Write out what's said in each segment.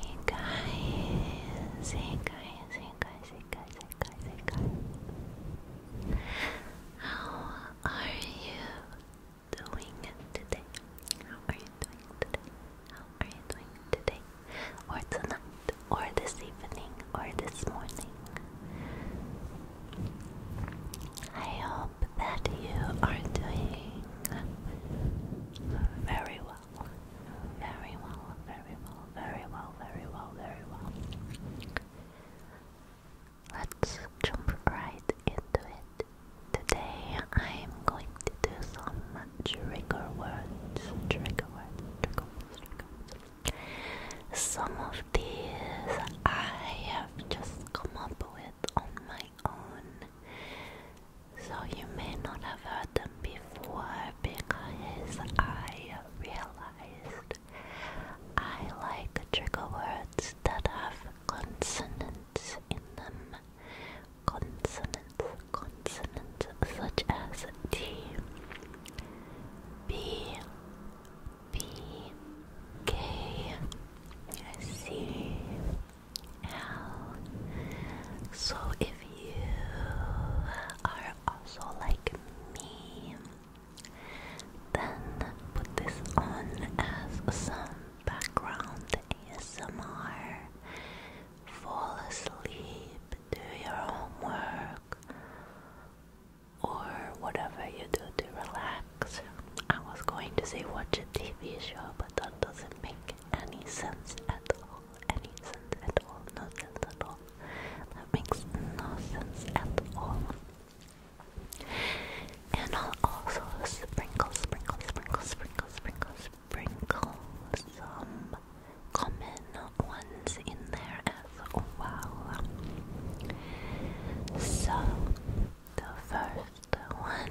Hey guys, hey guys, hey guys, hey guys, How are you doing today? How are you doing today? How are you doing today? Or tonight, or this evening, or this morning? I hope that you are doing very well. Very well, very well, very well, very well, very well. Let's jump right into it. Today I'm going to do some trigger words, trigger words. Some of these I have just come up with on my own so you may not have heard them before because I realized I like trigger words that have consonants in them. Consonants, consonants such as T, B, B, K, C, so, if you are also like me, then put this on as some background ASMR. Fall asleep, do your homework, or whatever you do to relax. I was going to say watch a TV show, but that doesn't make any sense at all any sense at all, no sense at all. That makes no sense at all. And I'll also sprinkle, sprinkle, sprinkle, sprinkle, sprinkle, sprinkle some common ones in there as well. So, the first one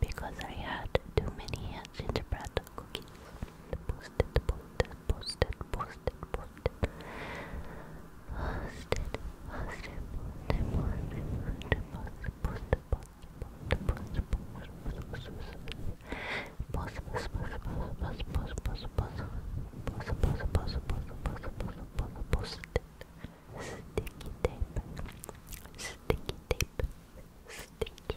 because I had too many gingerbread cookies. Posted, posted, posted, posted, posted. Posted, posted, posted, posted, posted, posted, posted, posted, posted, Sticky tape, sticky tape, sticky, sticky,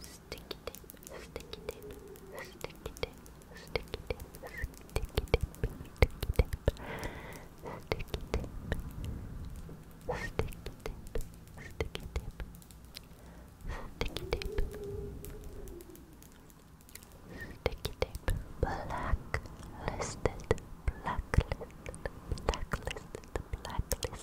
Sticky tape, sticky tape, sticky tape, sticky tape, sticky tape, sticky tape, sticky tape, sticky tape, sticky tape, sticky tape, blacklisted, blacklisted, blacklisted, blacklisted.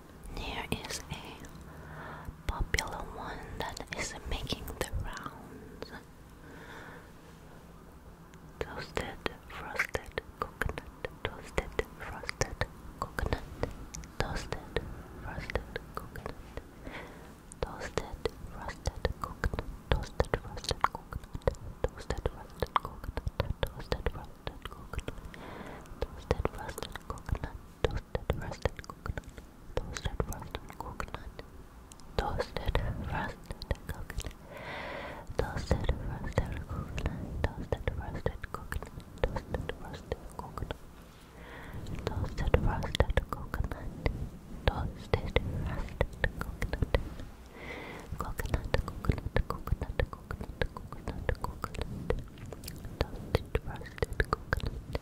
There is a popular one that is making the rounds. Toasted frosted coconut, toasted frosted coconut, toasted frosted coconut, toasted frosted coconut, toasted frosted coconut, toasted frosted coconut, toasted frosted coconut, toasted frosted coconut, toasted roasted coconut, toasted roasted coconut, toasted roasted coconut, toasted roasted coconut, toasted roasted coconut, toasted roasted coconut, toasted roasted coconut, toasted roasted coconut, coconut, coconut, coconut, coconut, coconut, coconut, coconut toasted roasted coconut,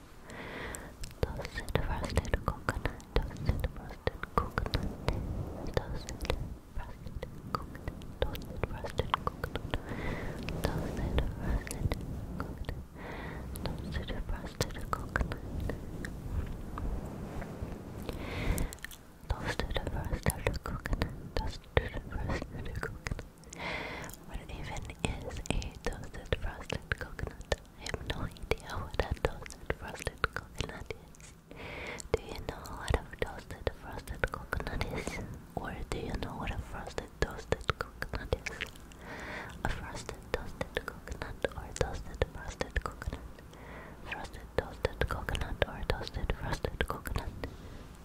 toasted roasted coconut, toasted roasted coconut, toasted roasted coconut, toasted roasted coconut, toasted roasted coconut, toasted roasted coconut. Toasted roasted coconut, toasted roasted coconut, what even is a toasted frosted coconut? I have no idea what a toasted frosted coconut is. Do you know what a toasted frosted coconut is? Or do you know what a frosted toasted coconut is? A frosted toasted coconut or toasted frosted coconut? Frosted toasted coconut or toasted frosted coconut?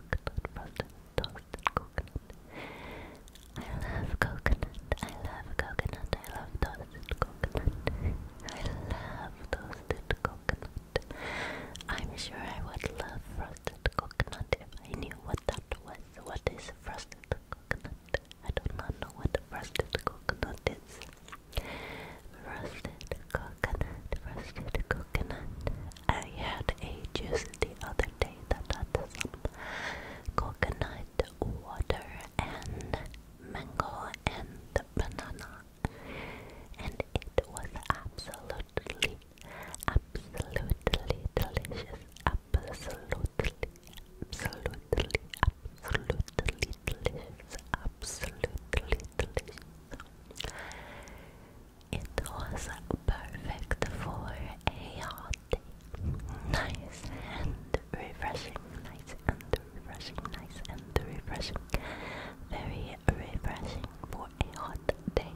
coconut, coconut. I love coconut, I love coconut, I love toasted coconut. I love toasted coconut. I'm sure I would love frosted coconut if I knew what that was. What is frosted coconut? I do not know what frosted coconut is. Roasted coconut, roasted coconut. I had a juice the other day that had some coconut water and mango and banana. And it was absolutely, absolutely delicious. Absolutely, absolutely, absolutely delicious. Absolutely delicious. It was perfect for a hot day. Nice and refreshing. Nice and refreshing. Nice and refreshing. Very refreshing for a hot day.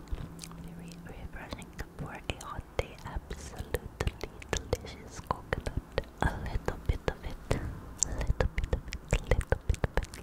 Very refreshing for a hot day. Absolutely delicious coconut. A little bit of it. A little bit of it. A little bit of it.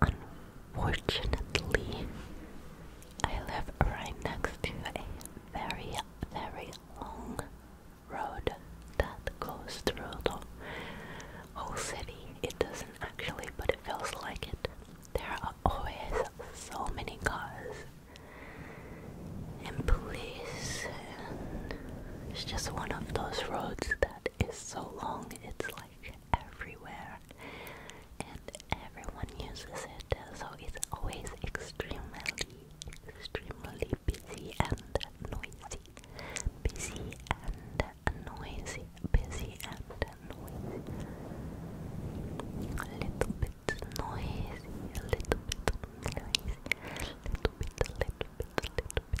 Unfortunately, I live right next to a very, very long road that goes through the whole city. It doesn't actually, but it feels like it. There are always so many cars and police, and it's just one of those roads that is so long, it's like everywhere and everyone uses it so it's always extremely extremely busy and noisy busy and noisy busy and noisy a little bit noisy a little bit noisy a little bit a little bit a little bit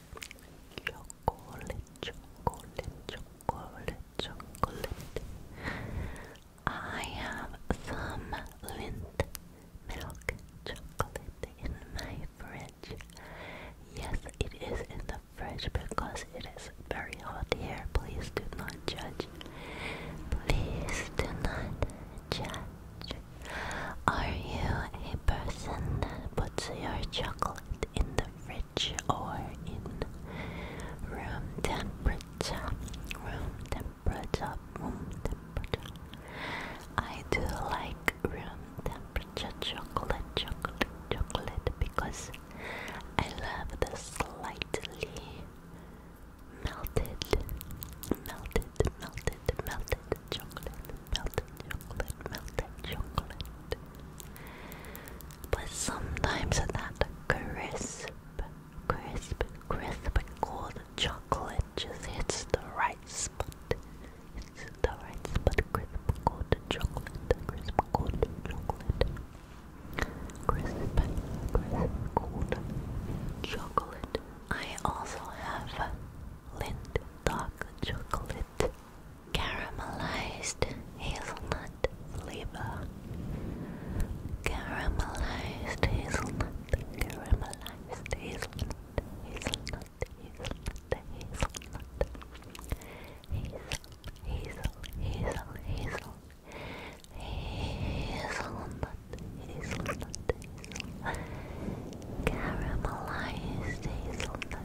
chocolate, chocolate, chocolate, chocolate. I have some milk chocolate in my fridge. Yes, it is in the fridge because it is very hot here. Please do not judge. Please do not judge. Are you a person that puts your chocolate in the the fridge or in room temperature. Room temperature. Room temperature. I do like room temperature chocolate, chocolate, chocolate because I love the slightly melted, melted, melted, melted chocolate, melted chocolate, melted chocolate. But sometimes that crisp, crisp, crisp cold chocolate just hits the right spot. It's the right spot, crisp cold chocolate, crisp cold chocolate. Crisp, crisp cold chocolate. I also have Lindt dark chocolate Caramelized hazelnut flavor. Caramelized hazelnut. Caramelized hazelnut. Hazelnut. Hazelnut. Hazelnut. Hazel. Hazel. Hazel. Hazelnut. Hazelnut. Hazel. Caramelized hazelnut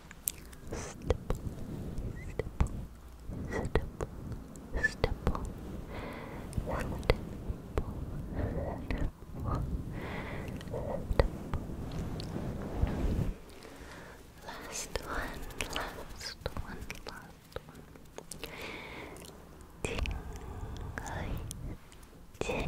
stipple, stipple, stipple, stipple, stipple, stipple, Last one, last one, last one. Tingly, tingly,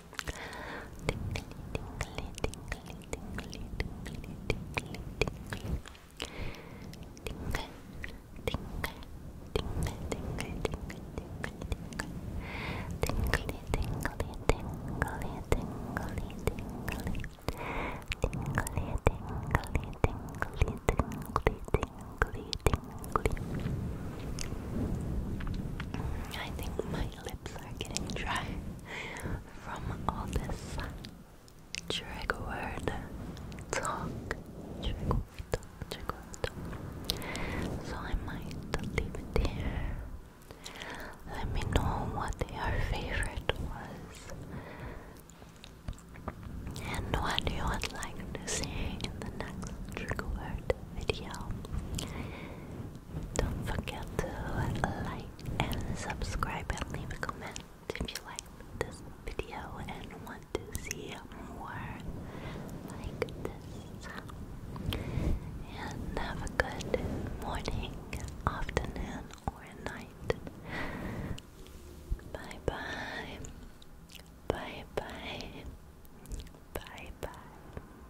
Tingly, tingly, tingly, tingly, tingly, tingly, tingly. Tingle, tingle, tingle, tingle, tingle, tingle, tingle, tingly, tingly, tingly, tingly, tingly, tingly, tingly, tingly, tingly, tingly, tingly. I think my lips are getting dry from all this trigger word talk. Trigger word talk, trigger word talk. So I might leave it here. Let me know what your favorite was and what you would like to see in the next trigger word video. Don't forget to like and subscribe and leave a comment if you like this video and want to see more like this. And have a good morning, afternoon, or night. Bye bye. Bye bye. Bye bye.